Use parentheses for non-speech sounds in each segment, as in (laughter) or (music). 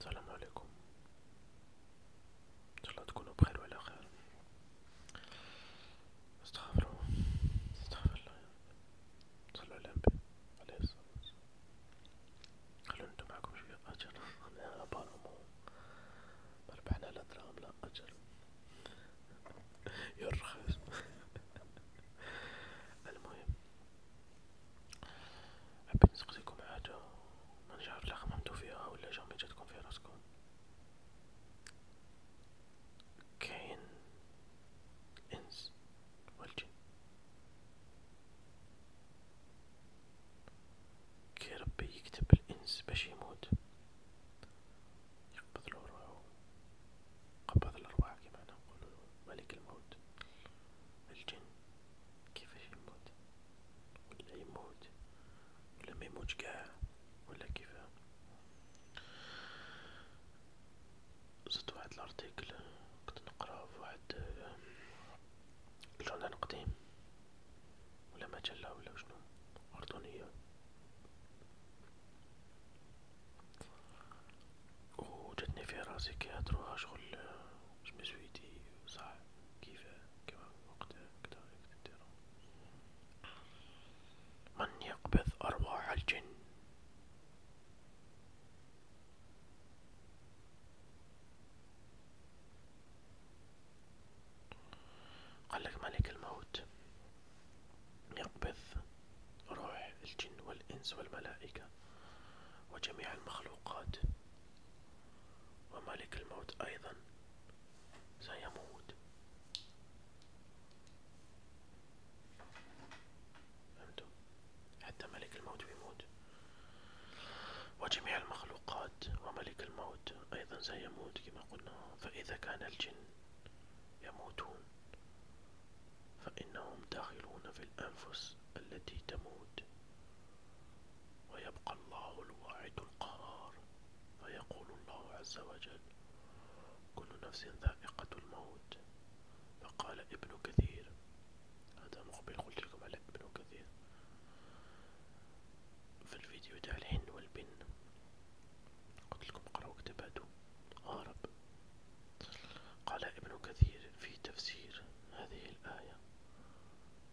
السلام عليكم ان شاء الله تكونوا بخير وعلى خير استغفر استغفر الله صلوا على النبي عليه الصلاه والسلام خلونا انتم معكم شويه اجر انا ابارمو ما ربحنا لا دراهم لا اجر يرخص (laughs) المهم حبيت نسقسيكم حاجة مانيش عارف لا خممتو فيها ولا جامي جاتكم في راسكم كاين الانس والجن كي ربي يكتب الانس باش يموت يقبض له روحو قبض الارواح كيما حنا نقولو ملك الموت الجن كيفاش يموت ولا يموت ولا ما يموتش كاع ولا كيفاه زدت واحد الارتيكل كنت نقرا في واحد جورنال قديم ولا مجلة ولا شنو أردنية وجاتني في راسي كيهضروها شغل جمزويتي صح كيف كما وقت هكدا يديرو من يقبض أرواح الجن قالك ملك الموت يقبض روح الجن والإنس والملائكة وجميع المخلوقات وملك الموت أيضا سيموت فهمتم حتى ملك الموت بيموت وجميع المخلوقات وملك الموت أيضا سيموت كما قلنا فإذا كان الجن يموتون فإنهم داخلون في الأنفس النفس التي تموت ويبقى الله الواعد القهار فيقول الله عز وجل كل نفس ذائقة الموت فقال ابن كثير هذا مقبل قلت لكم على ابن كثير في الفيديو تاع الحن والبن قلت لكم قرأوا كتباتو هارب قال ابن كثير في تفسير هذه الآية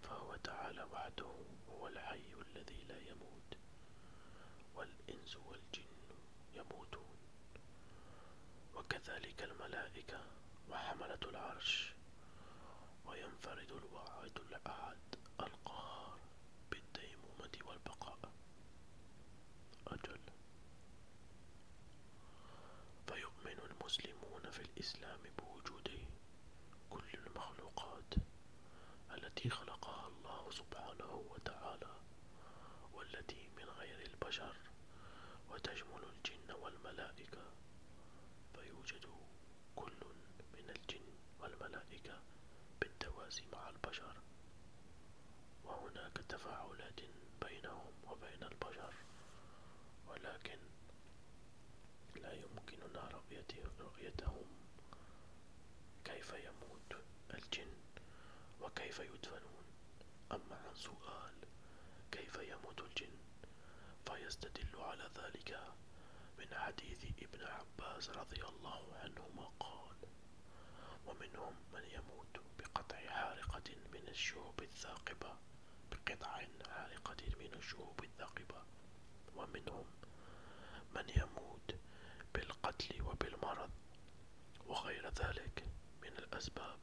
فهو تعالى وحده هو الحي الذي لا يموت والإنس والجن يموتون وكذلك الملائكة وحملة العرش وينفرد الواحد الأحد القهار بالديمومة والبقاء أجل فيؤمن المسلمون في الإسلام بوجود كل المخلوقات التي خلقها الله سبحانه وتعالى والتي من غير البشر وتشمل الجن والملائكة فيوجد كل من الجن والملائكة بالتوازي مع البشر وهناك تفاعلات بينهم وبين البشر ولكن لا يمكننا رؤيتهم كيف يموت الجن وكيف يدفنون أما عن سؤال كيف يموت الجن فيستدل على ذلك من حديث ابن عباس رضي الله عنهما قال ومنهم من يموت بقطع حارقة من الشعب الثاقبة الصخرة بقطع عالقة من الشهوب الثاقبة ومنهم من يموت بالقتل وبالمرض وغير ذلك من الأسباب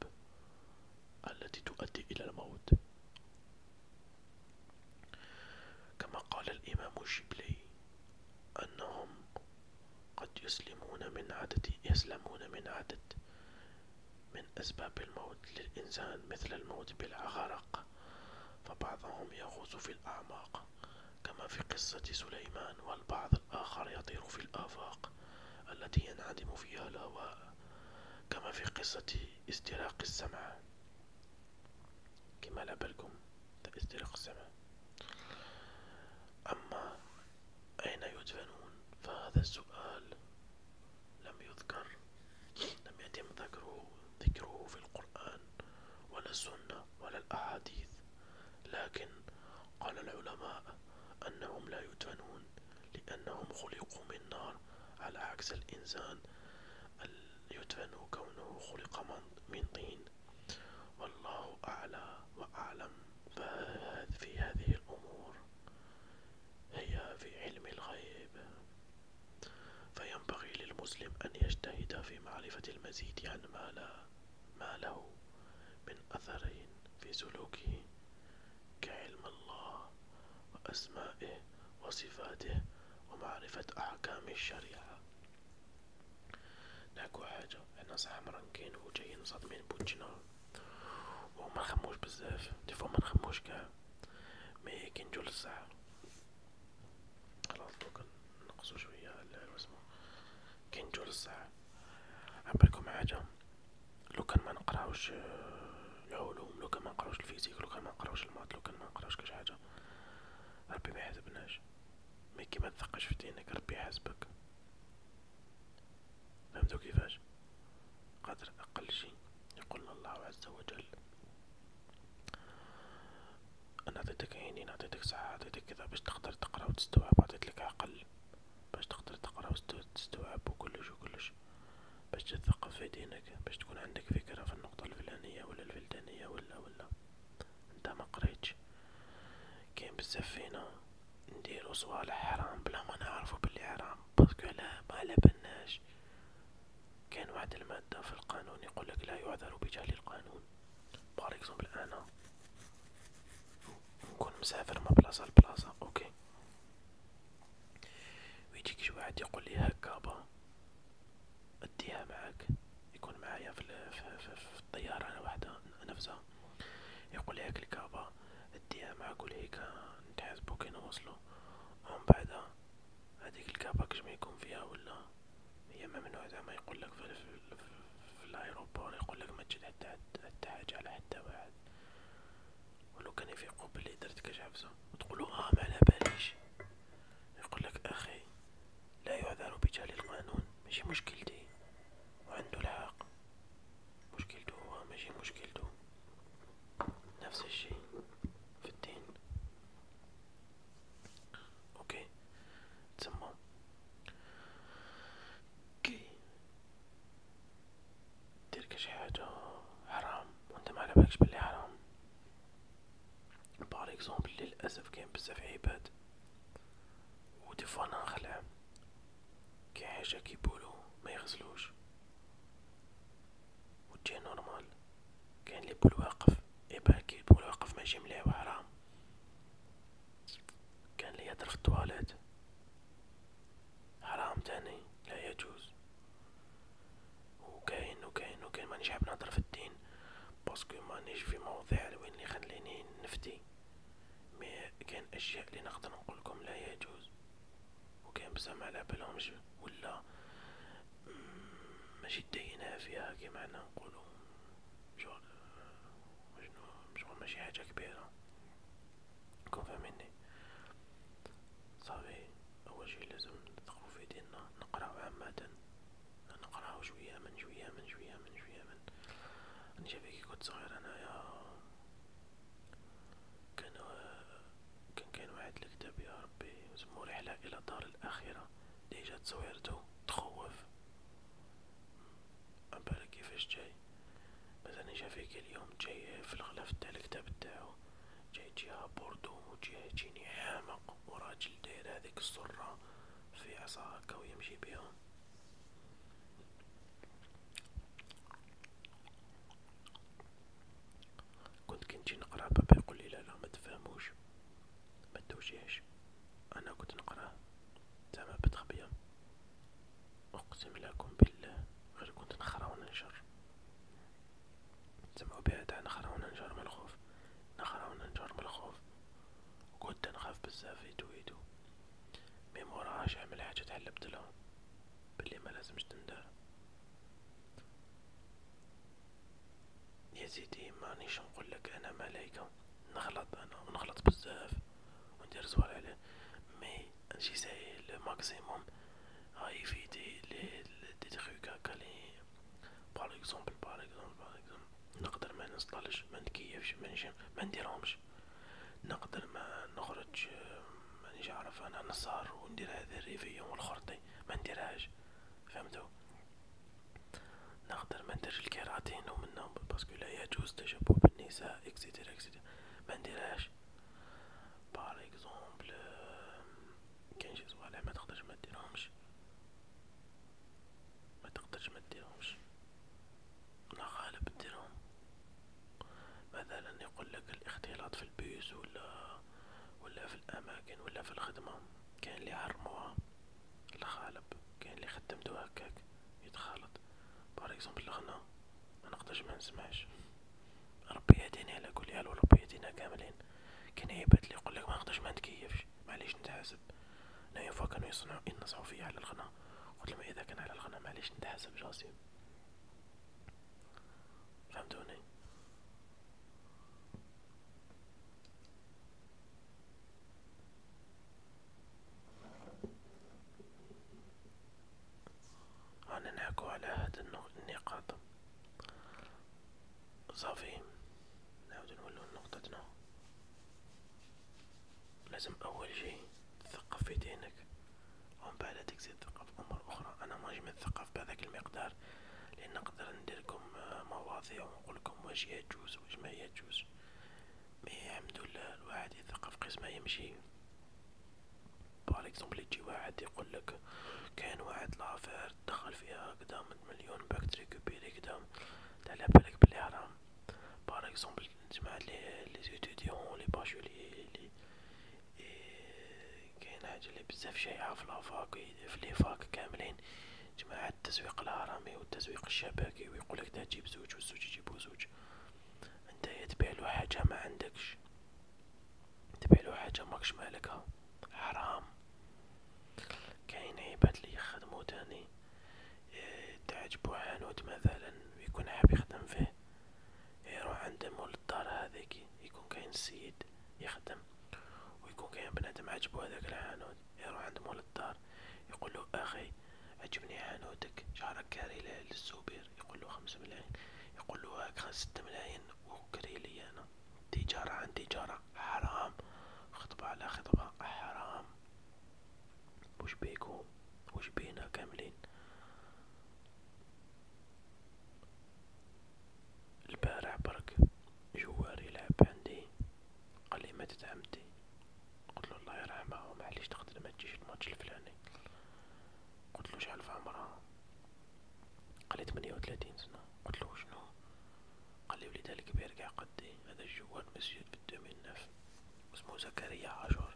التي تؤدي إلى الموت كما قال الإمام الشبلي أنهم قد يسلمون من عدد يسلمون من عدد من أسباب الموت للإنسان مثل الموت بالغرق فبعضهم يغوص في الأعماق كما في قصة سليمان والبعض الآخر يطير في الآفاق التي ينعدم فيها الهواء كما في قصة استراق السمع كما لبلكم استراق السمع أما أين يدفنون فهذا السؤال لم يذكر لم يتم ذكره ذكره في القرآن ولا السنة ولا الأحاديث لكن قال العلماء أنهم لا يدفنون لأنهم خلقوا من نار على عكس الإنسان يدفن كونه خلق من طين والله أعلى وأعلم في هذه الأمور هي في علم الغيب فينبغي للمسلم أن يجتهد في معرفة المزيد عن ما, لا ما له من أثر في سلوكه كعلم الله وأسمائه وصفاته ومعرفة أحكام الشريعة ناكو حاجة احنا صح مرنكين وجايين صدمين بوجنا وما نخموش بزاف ديفوا ما نخموش كاع مي كي نجو للساعة خلاص دوكا نقصو شوية واسمو كي نجو للساعة عبالكم حاجة لو كان ما نقراوش آه، العلوم لو كان ما نقراوش الفيزيك لو كان ما نقراوش المات لو كان ما نقراوش كاش حاجة ربي ما يحسبناش مي كي ما تثقش في دينك ربي يحاسبك فهمتوا كيفاش قدر أقل شيء يقولنا الله عز وجل أنا عطيتك عينين عطيتك صحه عطيتك كذا باش تقدر تقرا وتستوعب عطيتلك عقل باش تقدر تقرا وتستوعب وكلش وكلش باش تثقف في دينك باش تكون عندك فكرة في النقطة الفلانية ولا الفلدانية ولا ولا انت ما قريتش كاين بزاف فينا نديرو صوالح حرام بلا ما نعرفو بلي حرام باسكو لا ما على بالناش كان واحد المادة في القانون يقولك لا يعذر بجهل القانون باغ اكزومبل انا نكون مسافر من بلاصة لبلاصة اوكي ويجيك شي واحد يقول لي هكا با اديها معاك يكون معايا في, في, في, في الطيارة انا وحدها نفسها يقول هاك الكابا اديها معاك و هيك إيه نتحاسبو كي نوصلو ومن بعدا هاديك الكابا كش ما يكون فيها ولا هي ممنوع زعما يقولك في, في, في الايروبور يقولك ما تجد حتى حتى حاجه على حتى واحد ولو كان يفيقو بلي درت كاش عفسه وتقولو اه ما على باليش يقولك اخي لا يعذر بجهل القانون ماشي مشكلتي وعنده الحق مشكلته هو ماشي مشكلته نفس الشي في الدين اوكي تسمى كي دير شي حاجة حرام وانت ما على بالكش بلي حرام باغ اكزومبل للاسف كاين بزاف عباد ودي فوا انا نخلع كحاجة كيقولو ما يغسلوش وتجي نورمال كاين لي بول واقف اي يبان كي البول واقف ماشي مليح حرام كان لي يهدر في الطواليت حرام تاني لا يجوز وكاين وكاين وكاين مانيش حاب نهضر في الدين بارسكو مانيش في مواضيع وين اللي خليني نفتي مي كاين اشياء لي نقدر نقولكم لا يجوز وكان بزاف على بالهمش ولا ماشي داينها فيها كيما حنا نقولو شغل شنو ماشي حاجة كبيرة كون فاهميني صافي اول شي لازم ندخلو في ديالنا نقراو عامة نقراو شوية من شوية من شوية من شوية من انا شافي كي كنت صغير انايا كان كان كاين واحد الكتاب يا ربي سمو رحلة الى دار الاخرة لي جات تصويرتو تخوف عبالك كيفاش جاي مثلا جا فيك اليوم جاي في الغلاف تاع الكتاب تاعو جاي جهة بوردو و جهة جيني حامق و راجل داير هاذيك الصرة في عصا هاكا و يمشي بيهم كنت كنجي نقرا بابا يقول لي لا لا ما تفهموش ما تدوشيهش انا كنت نقراه تما بتخبيه اقسم لكم بالله غير كنت نخرا و ننشر تسمعو بها تاع نخرا و ننجر من الخوف نخرا و ننجر من الخوف كنت نخاف بزاف يدو يدو من موراها اش عمل حاجة تحل بدلهم بلي ملازمش تندار يا سيدي مانيش نقولك انا ملايكة نغلط انا ونغلط بزاف وندير زوار عليه مي نجي ساي لو ماكسيموم هاي في دي لي دي تخيك هكا لي باغ اكزومبل باغ اكزومبل باغ اكزومبل نقدر ما نصطلش ما نتكيفش ما نجم ما نديرهمش نقدر ما نخرج مانيش عارف انا نصار وندير هذا الريفية والخرطي ما نديرهاش فهمتو نقدر ما ندير الكيراتين ومنهم باسكو لا يجوز تشبه بالنساء اكسيتيرا اكسيتيرا ما نديرهاش بار اكزومبل كاين شي صوالح ما تقدرش ما ديرهمش ما تقدرش ما ديرهمش الله غالب نديرهم مثلا يقول لك الاختلاط في البيوس ولا ولا في الاماكن ولا في الخدمه كاين اللي حرموها الغالب كاين اللي خدمتو هكاك يتخالط باغ اكزومبل الغنا ما نقدرش ما نسمعش ربي يهدينا على كل حال وربي يهدينا كاملين كاين عباد اللي يقول لك ما نقدرش ما نتكيفش معليش نتحاسب انا يوم كانوا يصنعوا ينصحوا فيا على الغنا قلت لهم اذا كان على الغنا معليش نتحاسب راسي فهمتوني أنا نحكو على هاد النقاط صافي نعاودو نولو لنقطتنا لازم أول شي تثقف في دينك ومن بعد تقدر تثقف أمور أخرى أنا ماني متثقف بهذاك المقدار لأن نقدر نديرلكم مواضيع ونقولكم واش يجوز واش ما يجوز مي الحمد لله الواحد يثقف قسمه يمشي باغ اكزومبل يجي واحد يقولك كاين واحد لافير دخل فيها قدام مليون باك تريكوبيري قدام على بلي حرام باغ اكزومبل نجمع لي لي لي باشولي لي كاين حاجة لي بزاف شايعة في لافاك في لي فاك كاملين جماعة التسويق الهرمي والتسويق الشبكي ويقولك دا تجيب زوج والزوج يجيبو زوج انت تبيعلو حاجة ما عندكش تبيع حاجة ماكش مالكها حرام كاين عباد لي يخدمو تاني تعجبو حانوت مثلا ويكون حاب يخدم فيه يروح عند مول الدار هذاك يكون كاين سيد يخدم ويكون كاين بنادم عجبو هذاك الحانوت يروح عند مول الدار يقولو اخي عجبني حانوتك شعرك كاري للزبير يقولو خمس ملايين يقولو هاك خمس ست ملايين وكري لي انا تجارة عن تجارة حرام خطبة على خطبة حرام وش بيكم وش بينا كاملين البارح برك جوار يلعب عندي قالي ماتت عمتي قلتلو الله يرحمها معليش تقدر متجيش الماتش الفلاني قلتلو شحال في عمرها قالي تمنية وثلاثين سنة قلتلو شنو قالي وليدها الكبير قاع قدي هذا الجوار مسجد في الدومين نف اسمو زكريا عاشور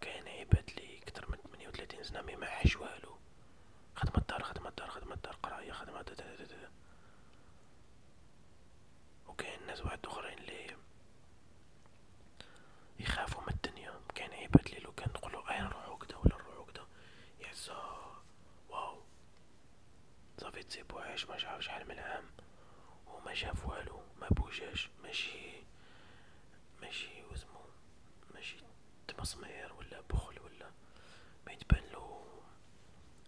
كاين عباد لي كتر من 38 سنه مي ما حاش والو خدمة الدار خدمة الدار خدمة الدار قرايه خدمة دا دا دا دا. وكاين ناس واحد اخرين لي يخافو من الدنيا كاين عباد لي لو كان نقولو اي نروحو كدا ولا نروحو كدا يحسو واو صافي تسيبو عايش ما عارف شحال من عام وما شافو والو ما بوجاش ماشي ماشي وسمو ماشي تمصمير ولا بخل ولا ما يتبان له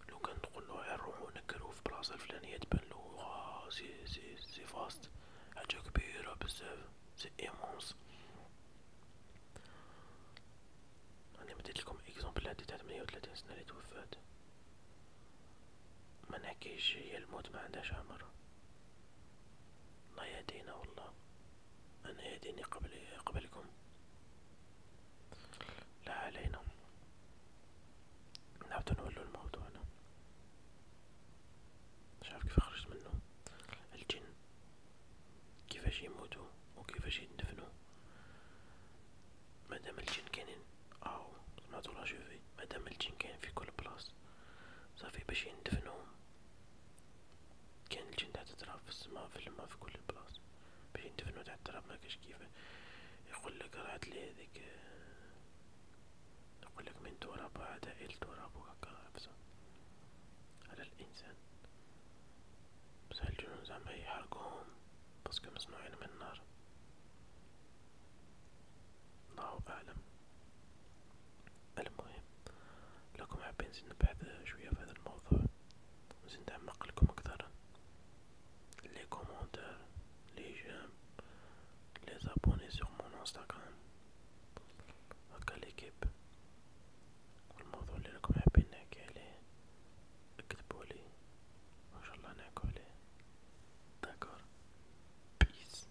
لو كان نقول له غير روحو نكرو في بلاصه الفلانيه تبان له واو آه، سي سي سي فاست حاجه كبيره بزاف سي ايمونس انا مديت لكم اكزومبل هادي تاع 38 سنه اللي توفات ما نحكيش هي الموت ما عندهاش عمر الله يهدينا والله أنا يهديني قبل قبلكم لا علينا نعود نولو لموضوعنا مش عارف كيف خرجت منه الجن كيفاش يموتو وكيفاش يندفنو مادام الجن كاينين او سمعتو لا مادام الجن كاين في كل بلاص صافي باش يندفنوهم كان الجن تحت التراب في السماء في الماء في كل البلاص باش يندفنو تحت التراب مكاش كيفاه يقول لك راه لي هذيك يقول لك من تراب عداء التراب إيه وهكا حفصه على الانسان بصح الجنون زعما يحرقوهم باسكو مصنوعين من النار الله اعلم المهم لكم حابين نزيد نبحث شوية في هذا الموضوع نزيد نعمق لكم أكثر لي كومونتير لي جيم لي زابوني سور مون انستغرام هكا ليكيب والموضوع اللي راكم حابين نحكي عليه اكتبولي وان شاء الله نحكو عليه داكور بيس